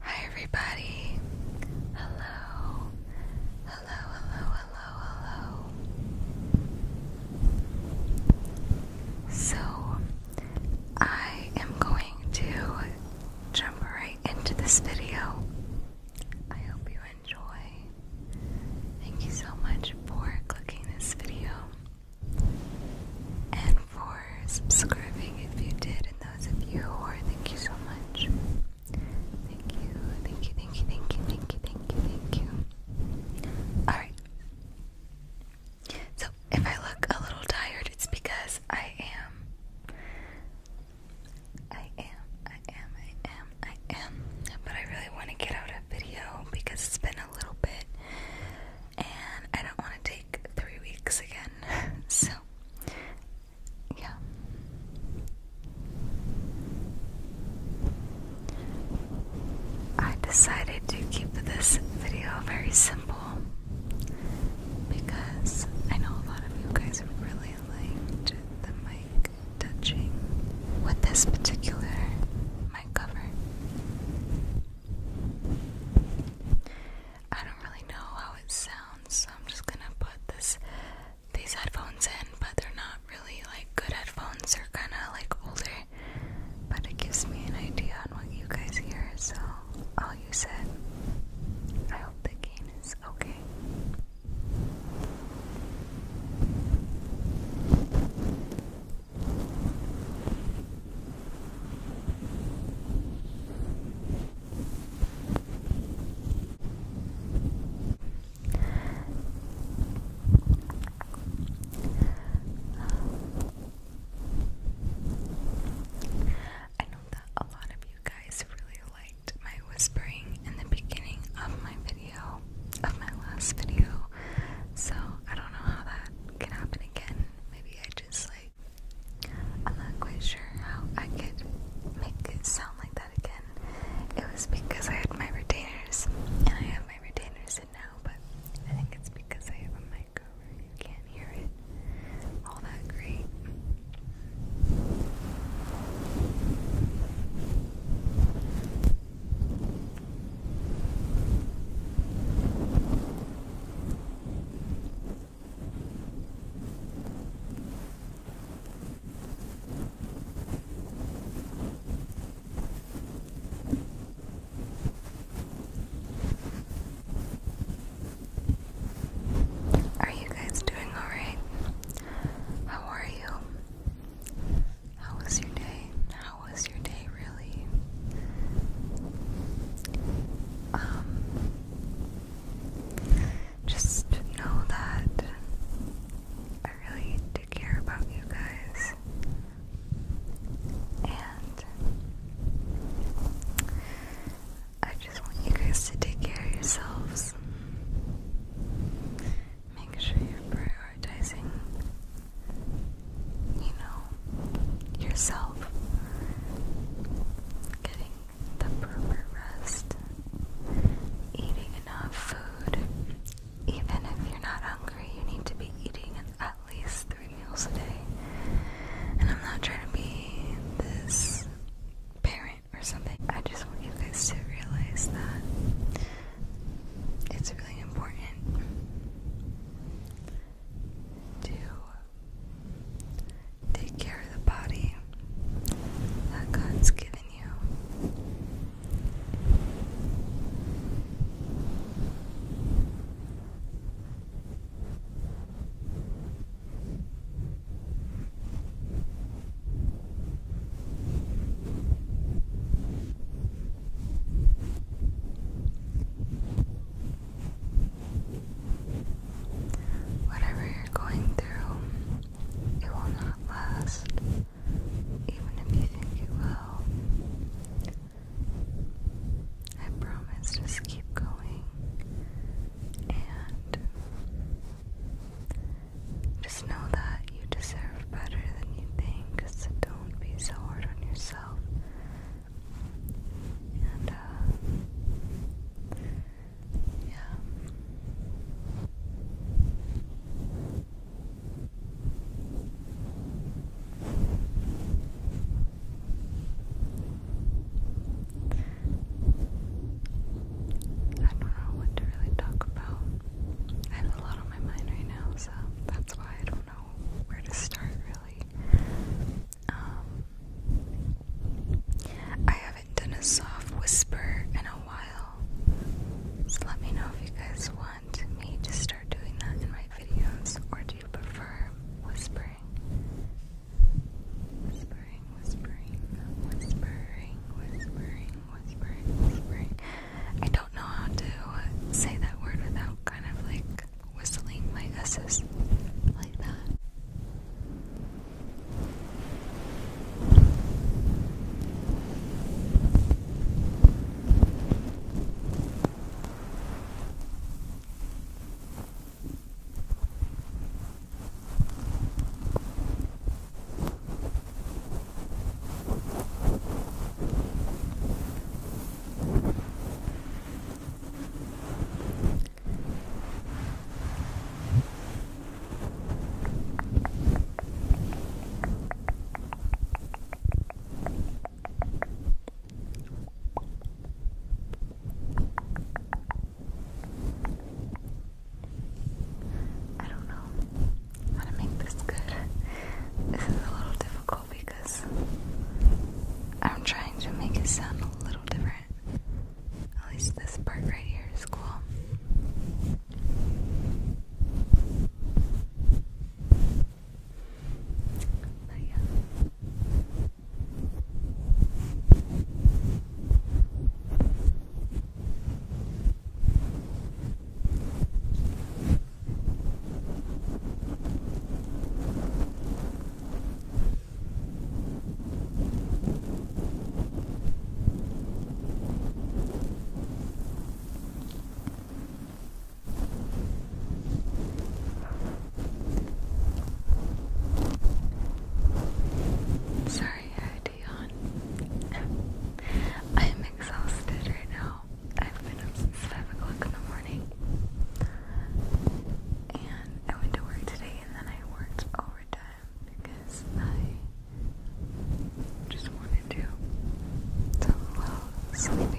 Hi everybody. Hello. Hello, hello, hello, hello. So, I am going to jump right into this video. I hope you enjoy. Thank you so much for clicking this video. And for subscribing if you did, and those of you who are, thank you so much. Thank you, thank you, thank you, thank you, thank you, thank you, thank you. Alright. So, if I look a little tired, it's because I am. I am, I am, I am, I am. But I really want to get out a video because it's been a little bit, and I don't want to take three weeks again. so, yeah. I decided to keep this video very simple because I know a lot of you guys really liked the mic touching with this particular mic cover. I don't really know how it sounds, so I'm just gonna put this these headphones in, but they're not really like good headphones, they're kinda like older. But it gives me an idea on what you guys hear, so all you said. I hope the gain is okay. I know that a lot of you guys really liked my whispering in the beginning of my video, of my last video, so I don't know how that can happen again. Maybe I just like I'm not quite sure how I could make it sound like that again. It was because I had my retainers, and I have my retainers in now, but I think it's because I have a mic over. You can't hear it all that great. Are you guys doing all right? How are you? How was your day? How was your day, um, just know that I really do care about you guys and I just want you guys to take care of yourselves. Make sure you're prioritizing you know, yourself getting the proper rest, eating enough food. Even if you're not hungry, you need to be eating at least three meals a day. And I'm not trying to be this parent or something. I just want you guys to realize that it's really important to take care of the body that God's given you. Whatever you're going through, it will not last, even if you think it will. I promise, just keep going and just know that you deserve better than you think, so don't be so hard on yourself and uh, yeah. I don't know what to really talk about. I have a lot on my mind right now, so that's why I don't don't know where to start really. Um, I haven't done a soft whisper in a while, so let me know if you guys want me to start doing that in my videos, or do you prefer whispering? Whispering, whispering, whispering, whispering, whispering, whispering. I don't know how to say that word without kind of like whistling my S's like that. I don't know how to make this good. This is a little difficult because I'm trying to make it sound a little different. At least this part right here is cool. yeah. Sorry, I I'm exhausted right now. I've been up since 5 o'clock in the morning. And I went to work today and then I worked overtime because I just wanted to. It's a sleepy.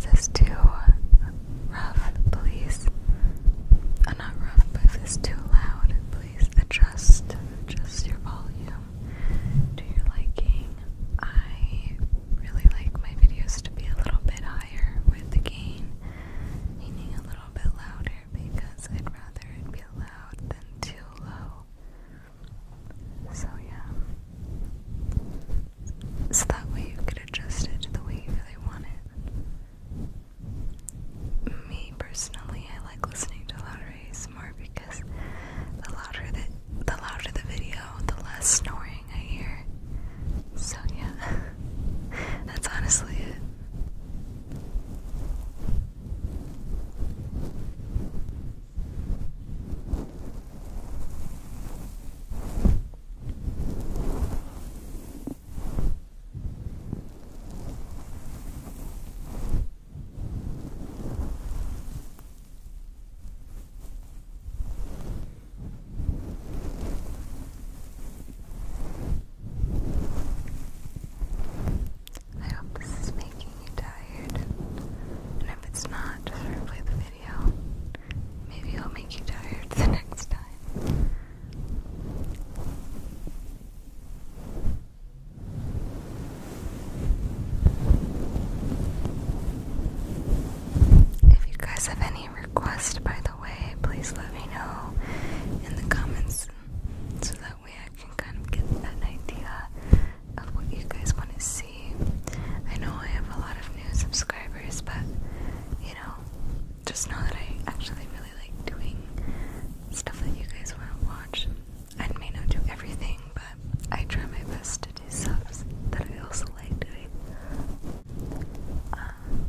This is too rough, please. Uh, not rough, but if it's too loud, please adjust, adjust your volume to your liking. I really like my videos to be a little bit higher with the gain, meaning a little bit louder because I'd rather it be loud than too low. So, yeah. So that way you could adjust it to the way you really want it. Me personally, I like listening to louder ASMR because the louder the the louder the video, the less snoring so, yeah, that's honestly it. I hope this is making you tired, and if it's not, just replay the video. Maybe i will make you tired the next time. If you guys have any requests, by the way, please let me know in the comments so that way I can kind of get an idea of what you guys want to see. I know I have a lot of new subscribers, but you know, just know that I actually really like doing stuff that you guys want to watch. I may not do everything, but I try my best to do subs that I also like doing. Um,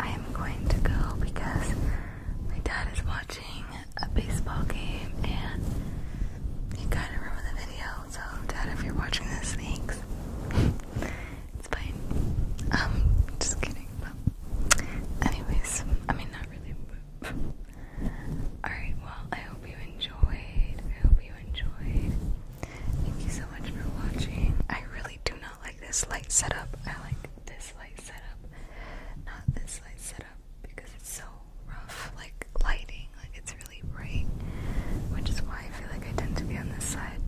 I am going to go because my dad is watching a baseball game and he kind of ruined the video. So, Dad, if you're watching this, thanks. It's fine. Um, just kidding. But anyways, I mean not really. Alright, well I hope you enjoyed. I hope you enjoyed. Thank you so much for watching. I really do not like this light setup. I like this light setup. Not this light setup because it's so rough. Like lighting. Like it's really really which is why I feel like I tend to be on this side.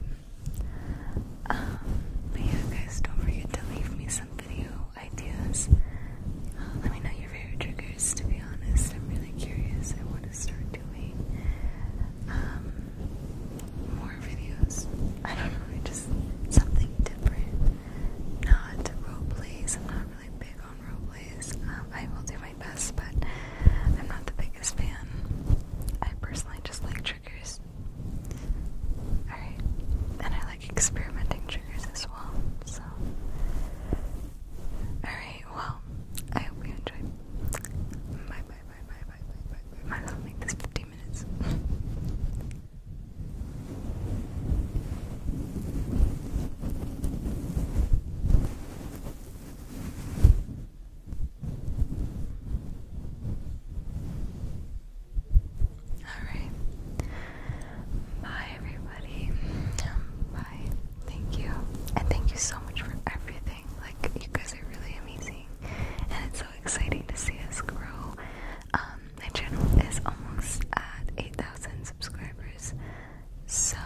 Um, but yeah, guys, don't forget to leave me some video ideas. Uh, let me know your favorite triggers, to be honest. I'm really curious. I want to start doing um, more videos. I don't know, just something different. Not roleplays. I'm not really big on roleplays. Um, I will do best, but I'm not the biggest fan. I personally just like triggers. Alright. And I like experimenting triggers as well, so. Alright, well, I hope you enjoyed. Bye, bye, bye, bye, bye, bye, bye. Might as well make this 15 minutes. Alright. Bye, everybody. Bye. Thank you. And thank you so much for everything. Like, you guys are really amazing. And it's so exciting to see us grow. Um, my channel is almost at 8,000 subscribers. So,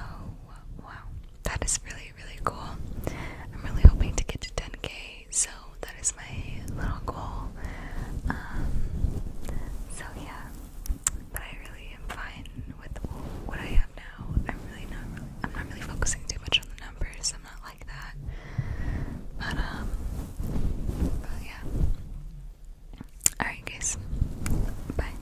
wow, That is really, really cool. I'm really hoping to get to 10k, so that is my little goal. Um, so, yeah, but I really am fine with what I have now. I'm really not really, I'm not really focusing too much on the numbers, I'm not like that. But, um, but yeah. Alright, guys, bye.